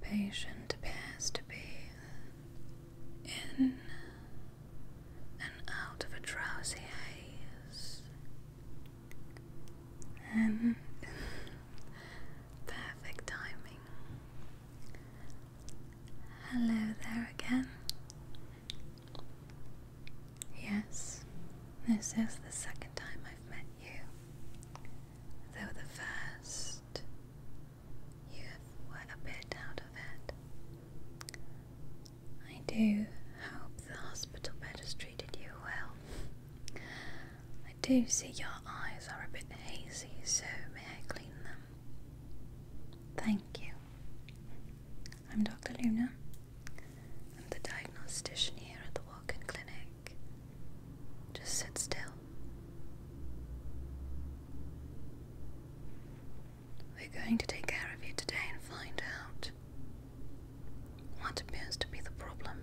Patient appears to be in and out of a drowsy haze, and perfect timing. Hello there again. Yes, this is the second time I've met you, though the first you have a bit out of it. I do hope the hospital bed has treated you well. I do see your eyes are a bit hazy, so may I clean them? Thank you. I'm Dr. Luna. I'm the diagnostician here at the walk in clinic. Just sit still. We're going to take care of you today and find out what appears to be the problem.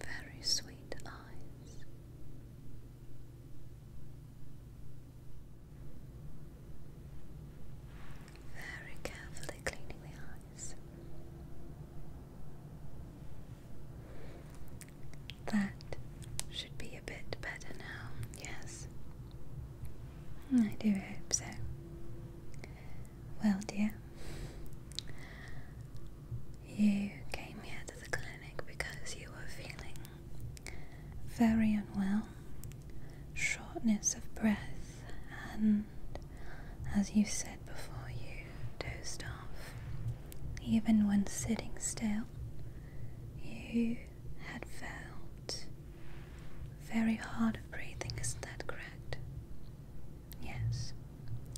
Very sweet eyes very carefully cleaning the eyes. That should be a bit better now, yes? I do hope so. Well, dear, you came here to the clinic because you were feeling very unwell, shortness of breath, and as you said before, you dozed off. Even when sitting still, you had felt very hard of breathing, isn't that correct? Yes.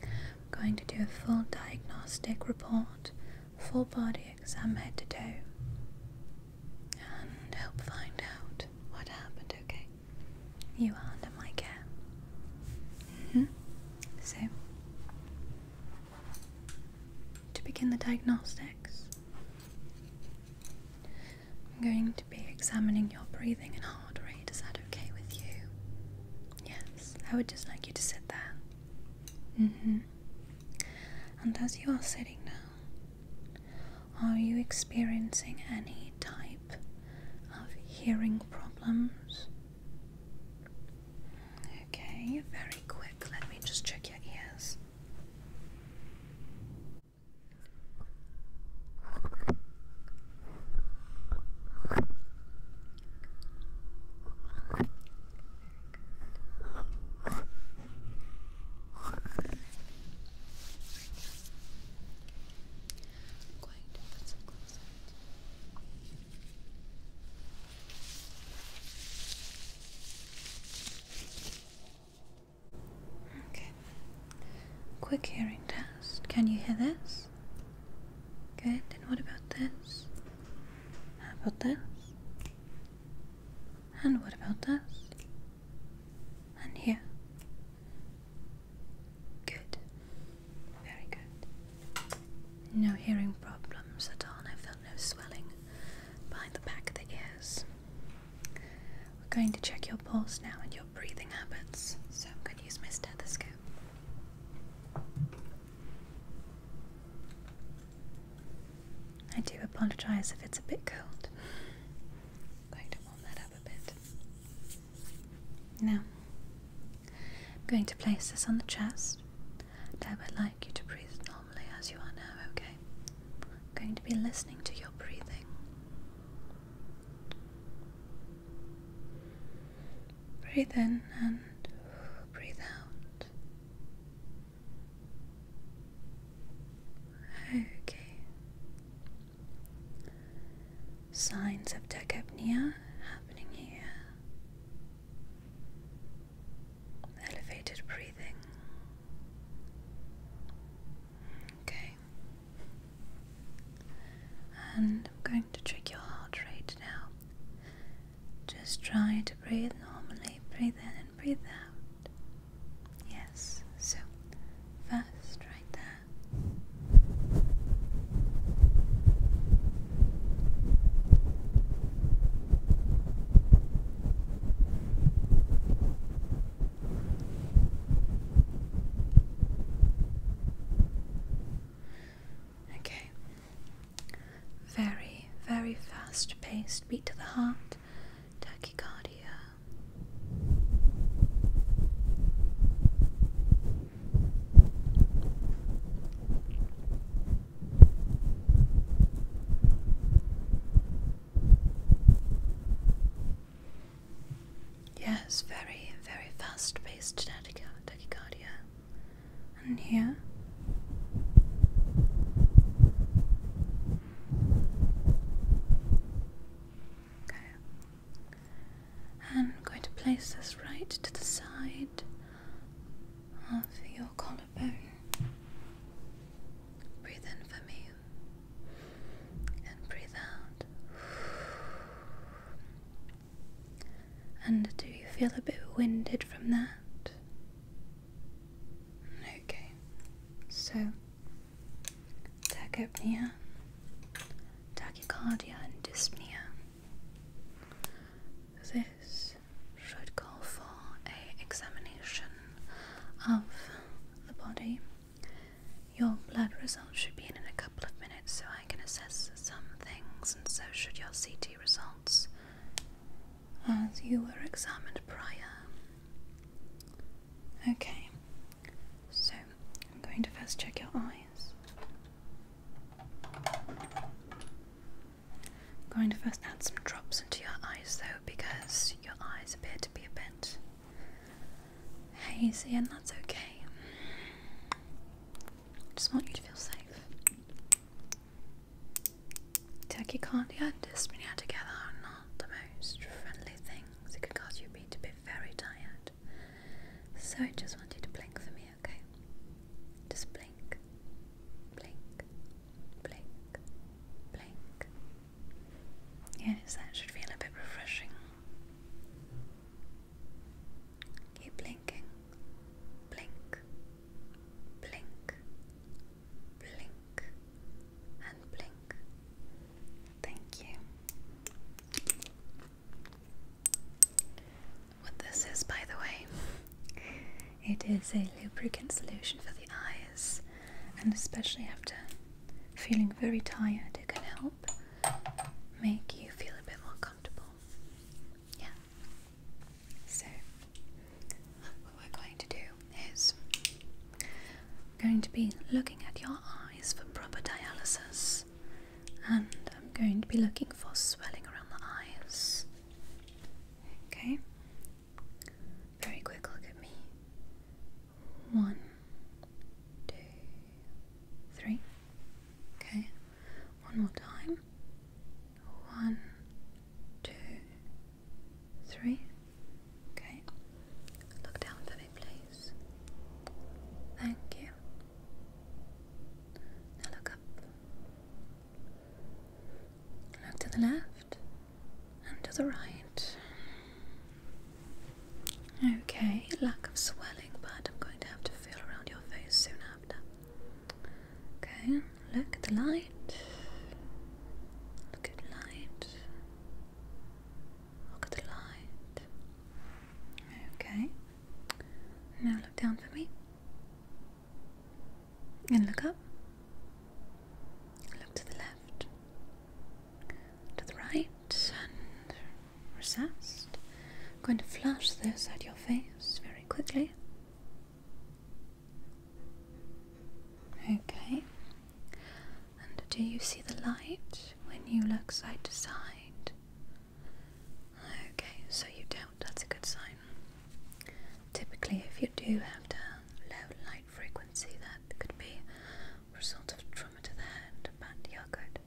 I'm going to do a full diagnostic report, full body exam head to toe, and help find out what happened, okay? You are under my care. Mm-hmm. So, to begin the diagnostics, I'm going to be examining your breathing and heart rate. Is that okay with you? Yes, I would just like you to sit there. Mm-hmm. And as you are sitting now, are you experiencing any type of hearing problems? Okay, very quick. Let me just check your ears. Okay. Quick hearing test. Can you hear this? Good. Then what about this? How about this? And what about this? And here. Good. Very good. No hearing problems at all. I felt no swelling behind the back of the ears. We're going to check your pulse now and your breathing habits. So I'm going to use my stethoscope. I do apologize if it's a bit cold going to warm that up a bit. Now, I'm going to place this on the chest, and I would like you to breathe normally as you are now, okay? going to be listening to your breathing. Breathe in and breathe out. Okay. Signs of tachypnea happening here. Elevated breathing. Okay. And I'm going to check your heart rate now. Just try to breathe normally. Breathe in and breathe out. Yes, so fast, right there. Okay. Very, very fast paced beat to the heart tachycardia. Yes, very, very fast paced tachycardia. And here Okay. And I'm going to place this right to the side of your collarbone. Breathe in for me and breathe out. And do you feel a bit winded from that? Okay, so tachypnea, tachycardia, and dyspnea. This should call for a examination of the body. Your blood results should be in in a couple of minutes, so I can assess some things, and so should your CT results, as you were examined prior. Okay, so I'm going to first check your eyes. going to first add some drops into your eyes though, because your eyes appear to be a bit hazy, and that's okay. just want you to feel safe. Tachycardia and out together are not the most friendly things. It could cause you to be very tired. So I just want you to blink for me, okay? Just blink, blink, blink, blink. Yes, that should feel a bit refreshing. Keep blinking. Blink, blink, blink and blink. Thank you. What this is, by the way, it is a lubricant solution for the eyes, and especially after feeling very tired, it can help make you feel a bit more comfortable. Yeah. So, what we're going to do is I'm going to be looking at your eyes for proper dialysis and I'm going to be looking for swelling around the eyes. Okay? Very quick look at me. One, two, three. Okay. One more time. One, two, Three. Okay. Look down for me, please. Thank you. Now look up. Look to the left and to the right. Okay, lack of swelling, but I'm going to have to feel around your face soon after. Okay. Look at the light. Look at the light. Look at the light. Okay. Now look down for me. And look up. Look to the left. To the right. And recessed. I'm going to flash this at your face very quickly. Okay. And do you see the light when you look side to side? Okay, so you don't. That's a good sign. Typically, if you do have a low light frequency, that could be a result of trauma to the hand, but you're good.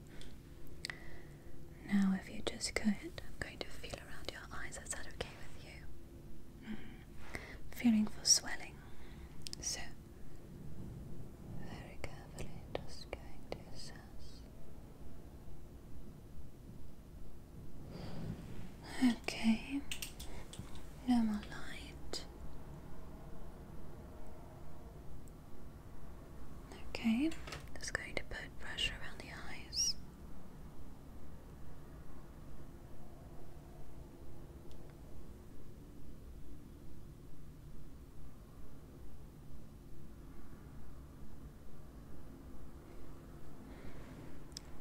Now, if you just go ahead, I'm going to feel around your eyes. Is that okay with you? Fearing for swelling. So, very carefully, just going to assess. Okay, no more light. Okay, just going to put pressure around the eyes.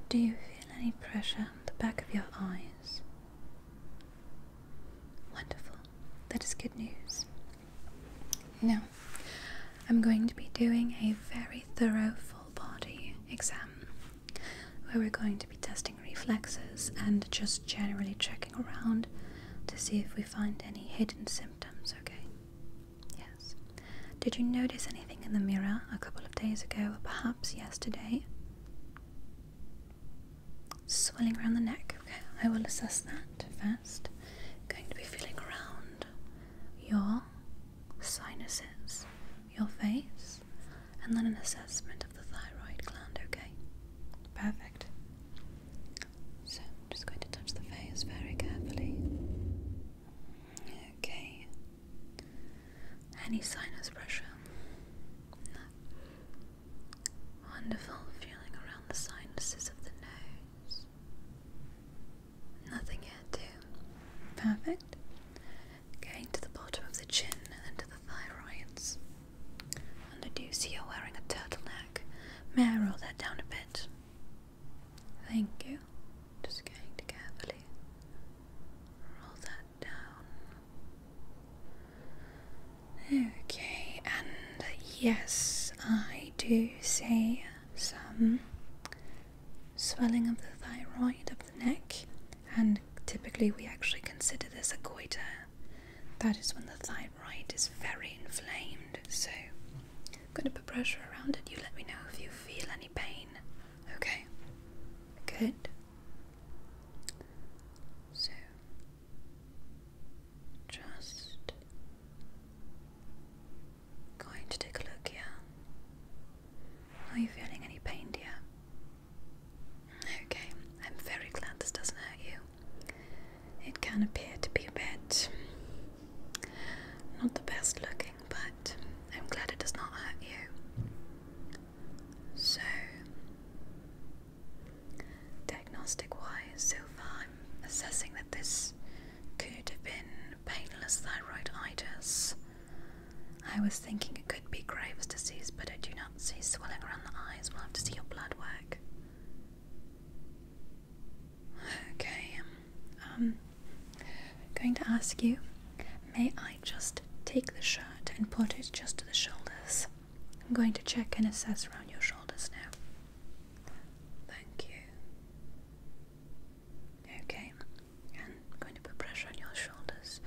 Do you feel any pressure on the back of your eyes? Wonderful, that is good news. Now, I'm going to be doing a very thorough full body exam where we're going to be testing reflexes and just generally checking around to see if we find any hidden symptoms, okay? Yes. Did you notice anything in the mirror a couple of days ago or perhaps yesterday? Swelling around the neck. Okay, I will assess that 1st going to be feeling around your sinuses your face, and then an assessment of the thyroid gland, okay? Perfect. So, just going to touch the face very carefully. Okay. Any sinus pressure? Wonderful feeling around the sinuses of the nose. Nothing here, too. Perfect going to the bottom of the chin and to the thyroids. And I do see you're wearing a turtleneck. May I roll that down a bit? Thank you. Just going to carefully roll that down. Okay, and yes, I do see some swelling of the thyroid the neck, and typically we actually consider this a goiter. That is when the thyroid is very inflamed. So I'm going to put pressure around it. You let me know if you feel any pain. Okay. Good. So just going to take a look here. Are you feeling any pain, dear? Okay, I'm very glad this doesn't hurt you. It can appear to be a bit. not the best looking, but I'm glad it does not hurt you. So, diagnostic wise, so far I'm assessing that this could have been painless thyroiditis. I was thinking it could be Graves' disease, but I do not see swelling around the eyes. We'll have to see your blood work. Okay, I'm um, um, going to ask you, may I just take the shirt and put it just to the shoulders? I'm going to check and assess around your shoulders now. Thank you. Okay, and I'm going to put pressure on your shoulders.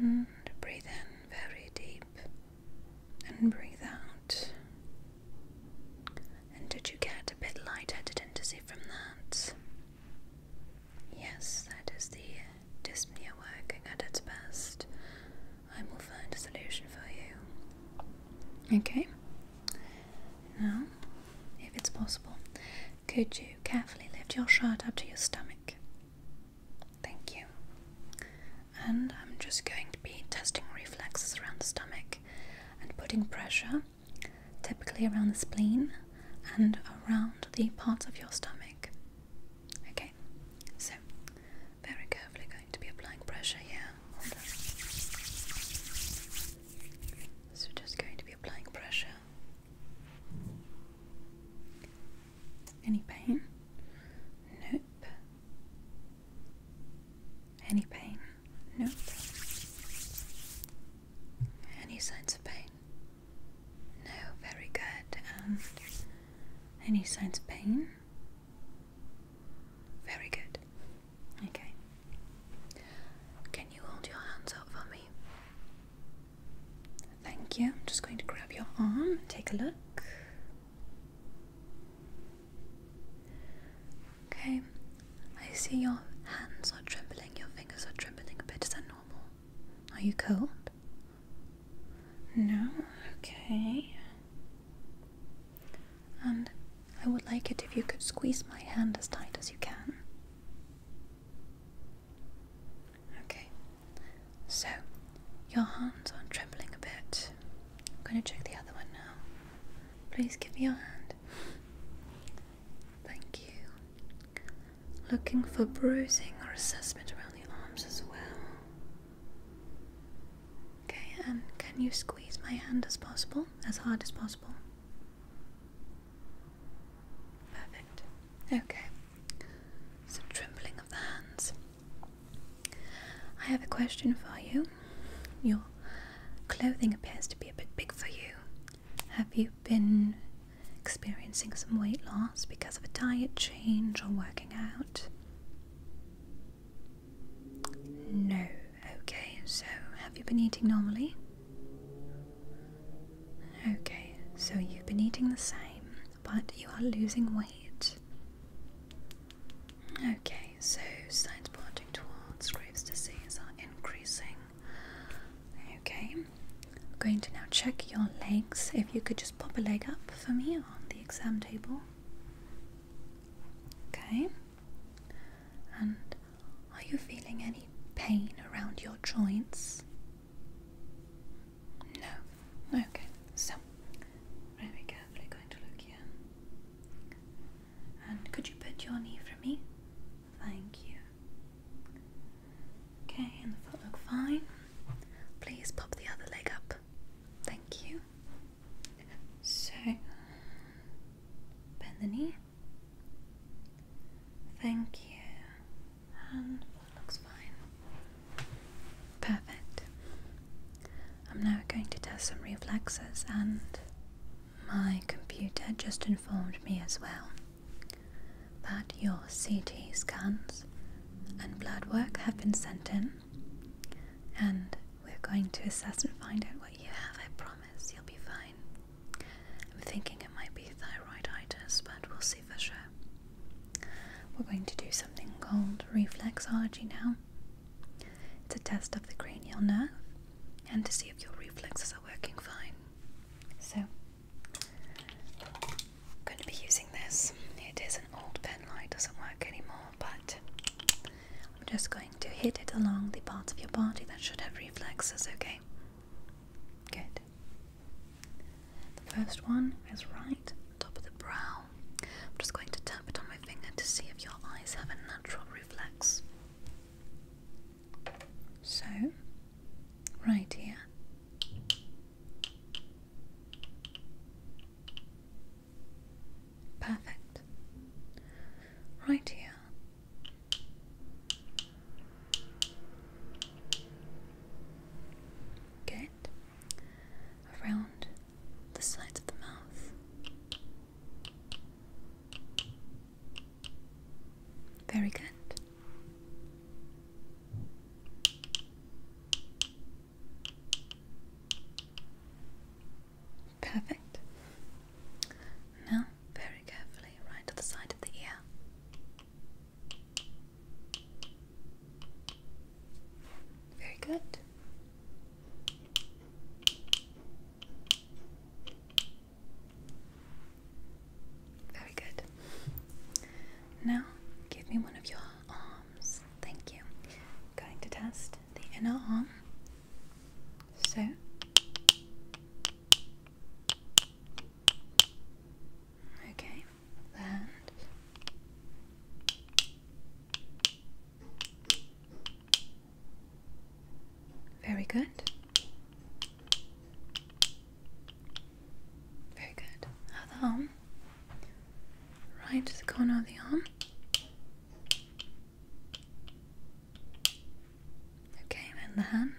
And breathe in very deep. And breathe out. And did you get a bit light-headed and dizzy from that? Yes, that is the dyspnea working at its best. I will find a solution for you. Okay? Now, if it's possible, could you carefully lift your shirt up to your stomach? Thank you. And I'm just going to be testing reflexes around the stomach and putting pressure, typically around the spleen and around the parts of your stomach. Okay, so very carefully going to be applying pressure here. So just going to be applying pressure. Any pain? Nope. Any pain? Nope. Any signs of pain? No, very good. And any signs of pain? Very good. Okay. Can you hold your hands up for me? Thank you. I'm just going to grab your arm and take a look. Okay. I see your hands are trembling, your fingers are trembling a bit. Is that normal? Are you cold? No? Okay. And I would like it if you could squeeze my hand as tight as you can. Okay, so your hands are trembling a bit. I'm going to check the other one now. Please give me your hand. Thank you. Looking for bruising or assessment around the arms as well. Okay, and can you squeeze my hand as possible, as hard as possible? Perfect. Okay. Some trembling of the hands. I have a question for you. Your clothing appears to be a bit big for you. Have you been experiencing some weight loss because of a diet change or working out? No. Okay, so have you been eating normally? Okay, so you've been eating the same, but you are losing weight. Okay, so signs pointing towards Graves' disease are increasing. Okay, I'm going to now check your legs. If you could just pop a leg up for me on the exam table. Okay, and are you feeling any pain around your joints? No. Okay, so very carefully going to look here. And could you put your knee for me? Thank you. Okay, and the foot look fine. Please pop the other leg up. Thank you. So bend the knee. Thank you. And um, looks fine. Perfect. I'm now going to test some reflexes, and my computer just informed me as well that your CT scans and blood work have been sent in, and we're going to assess and find out what you have. I promise you'll be fine. I'm thinking it might be thyroiditis, but we'll see for sure. We're going to do something called reflexology now. It's a test of the cranial nerve and to see if your reflexes are working fine. So, I'm going to be using this. It is an old pen light, doesn't work anymore, but I'm just going to hit it along the parts of your body that should have reflexes, okay? Good. The first one is right, on top of the brow. I'm just going to tap it on my finger to see if your eyes have a natural reflex. So, right here. Perfect. Right here. Good. Around the sides of the mouth. Very good. Perfect. Now, very carefully, right to the side of the ear. Very good. Very good. Now, give me one of your arms. Thank you. Going to test the inner arm. So okay, the hand. Very good. Very good. Other arm. Right, the corner of the arm. Okay, then the hand.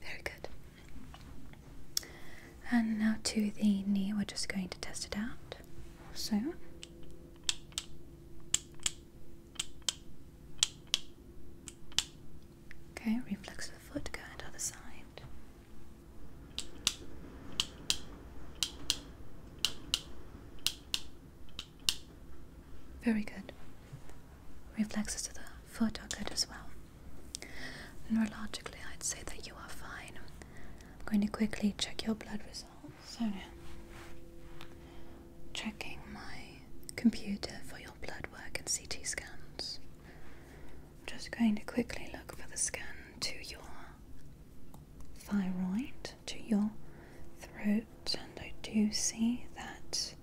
Very good. And now to the knee, we're just going to test it out. So. Okay, reflex of the foot, go and other side. Very good. Reflexes of the foot are good as well. Neurologically, I'd say that you are fine. I'm going to quickly check your blood results. So checking my computer for your blood work and CT scans. I'm just going to quickly look for the scan to your thyroid, to your throat, and I do see that,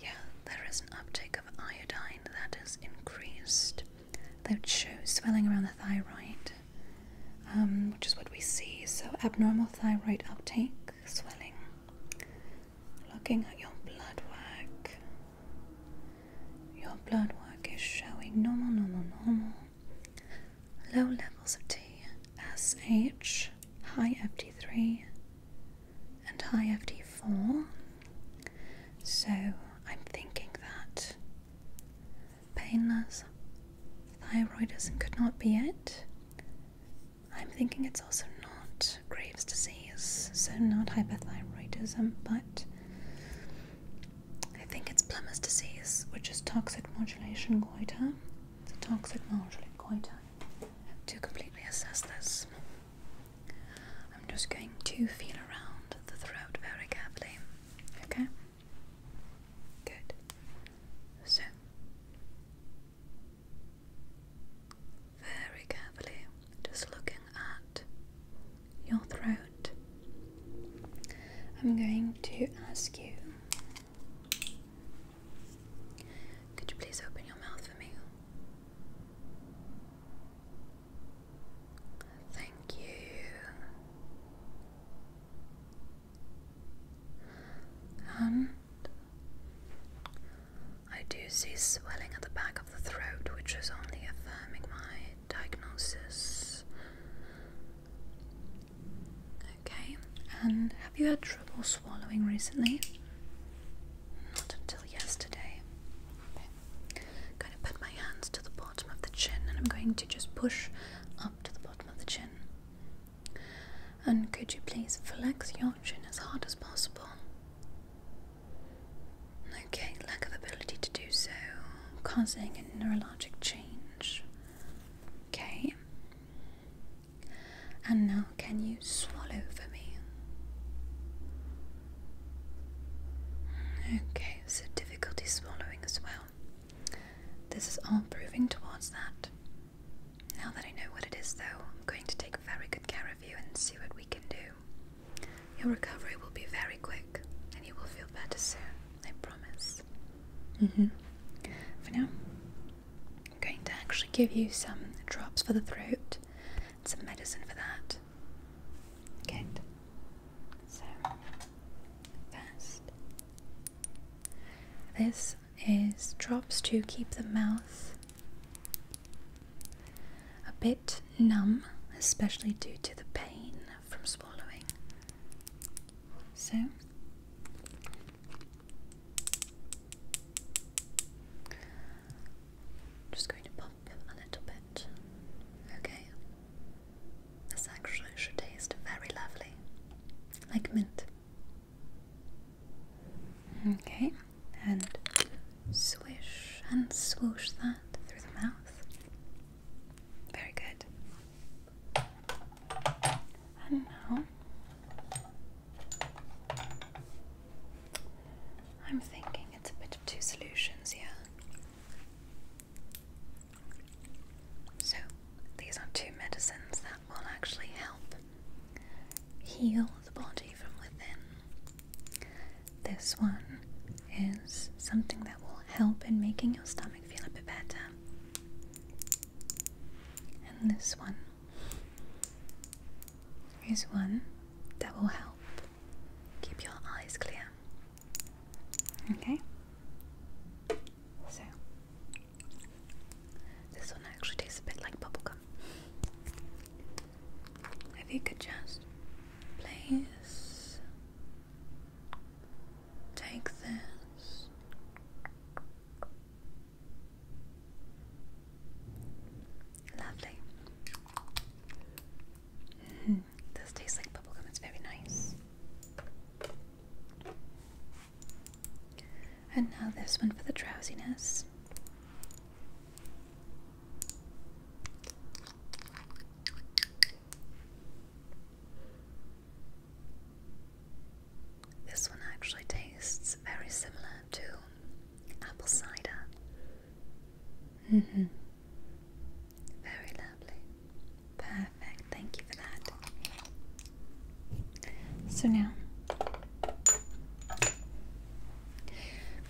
yeah, there is an uptake of iodine that has increased. That shows swelling around the thyroid, um, which is what we see. So, abnormal thyroid uptake swelling, looking at your blood work. Your blood work is showing normal, normal, normal. Low levels of TSH, high FT3, and high FT4. So I'm thinking that painless thyroidism could not be it. I'm thinking it's also not Graves' disease, so not hyperthyroidism, but I think it's Plummer's disease, which is toxic modulation goiter. It's a toxic modulation goiter. To completely assess this, I'm just going to feel around the throat very carefully. Okay? Good. So, very carefully, just looking at your throat. I'm going to ask you. Could you please open your mouth for me? Thank you. And I do see swelling at the back of the throat, which is only affirming my diagnosis. Okay, and have you had trouble swallowing recently? Not until yesterday. Okay. going to put my hands to the bottom of the chin and I'm going to just push up to the bottom of the chin. And could you please flex your chin as hard as possible? Okay, lack of ability to do so, causing a neurologic change. Okay. And now, can you swallow for me? Okay, so difficulty swallowing as well. This is all proving towards that. Now that I know what it is, though, I'm going to take very good care of you and see what we can do. Your recovery will be very quick, and you will feel better soon, I promise. Mm-hmm. For now, I'm going to actually give you some drops for the throat some medicine for that. Good. So, first, this is drops to keep the mouth a bit numb, especially due to the pain from swallowing. So, just going to pop a little bit. Okay, this actually should taste very lovely, like mint. Okay, and swish and swoosh that through the mouth. Very good. And now I'm thinking it's a bit of two solutions yeah. So, these are two medicines that will actually help heal the body from within. This one is something that will help in making your stomach feel a bit better. And this one is one that will help keep your eyes clear. Okay? So, this one actually tastes a bit like bubblegum. If you could just please take this. Lovely. Mm-hmm. This tastes like bubblegum, it's very nice. And now this one for the drowsiness. This one actually tastes very similar to apple cider. Mm-hmm. Very lovely. Perfect. Thank you for that. So now, I'm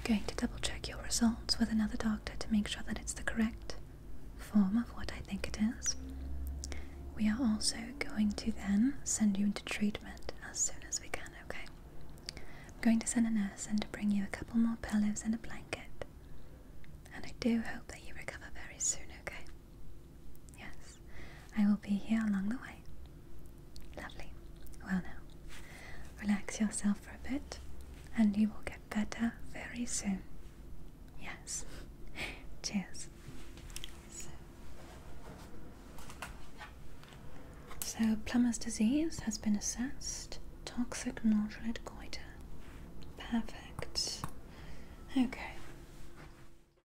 going to double check your results with another doctor to make sure that it's the correct form of what I think it is. We are also going to then send you into treatment as soon as we can, okay? I'm going to send a nurse in to bring you a couple more pillows and a blanket. And I do hope that you recover very soon, okay? Yes, I will be here along the way. Lovely. Well, now, relax yourself for a bit and you will get better very soon. Yes. Cheers. So. so, plumber's disease has been assessed. Toxic nodular goiter. Perfect. Okay.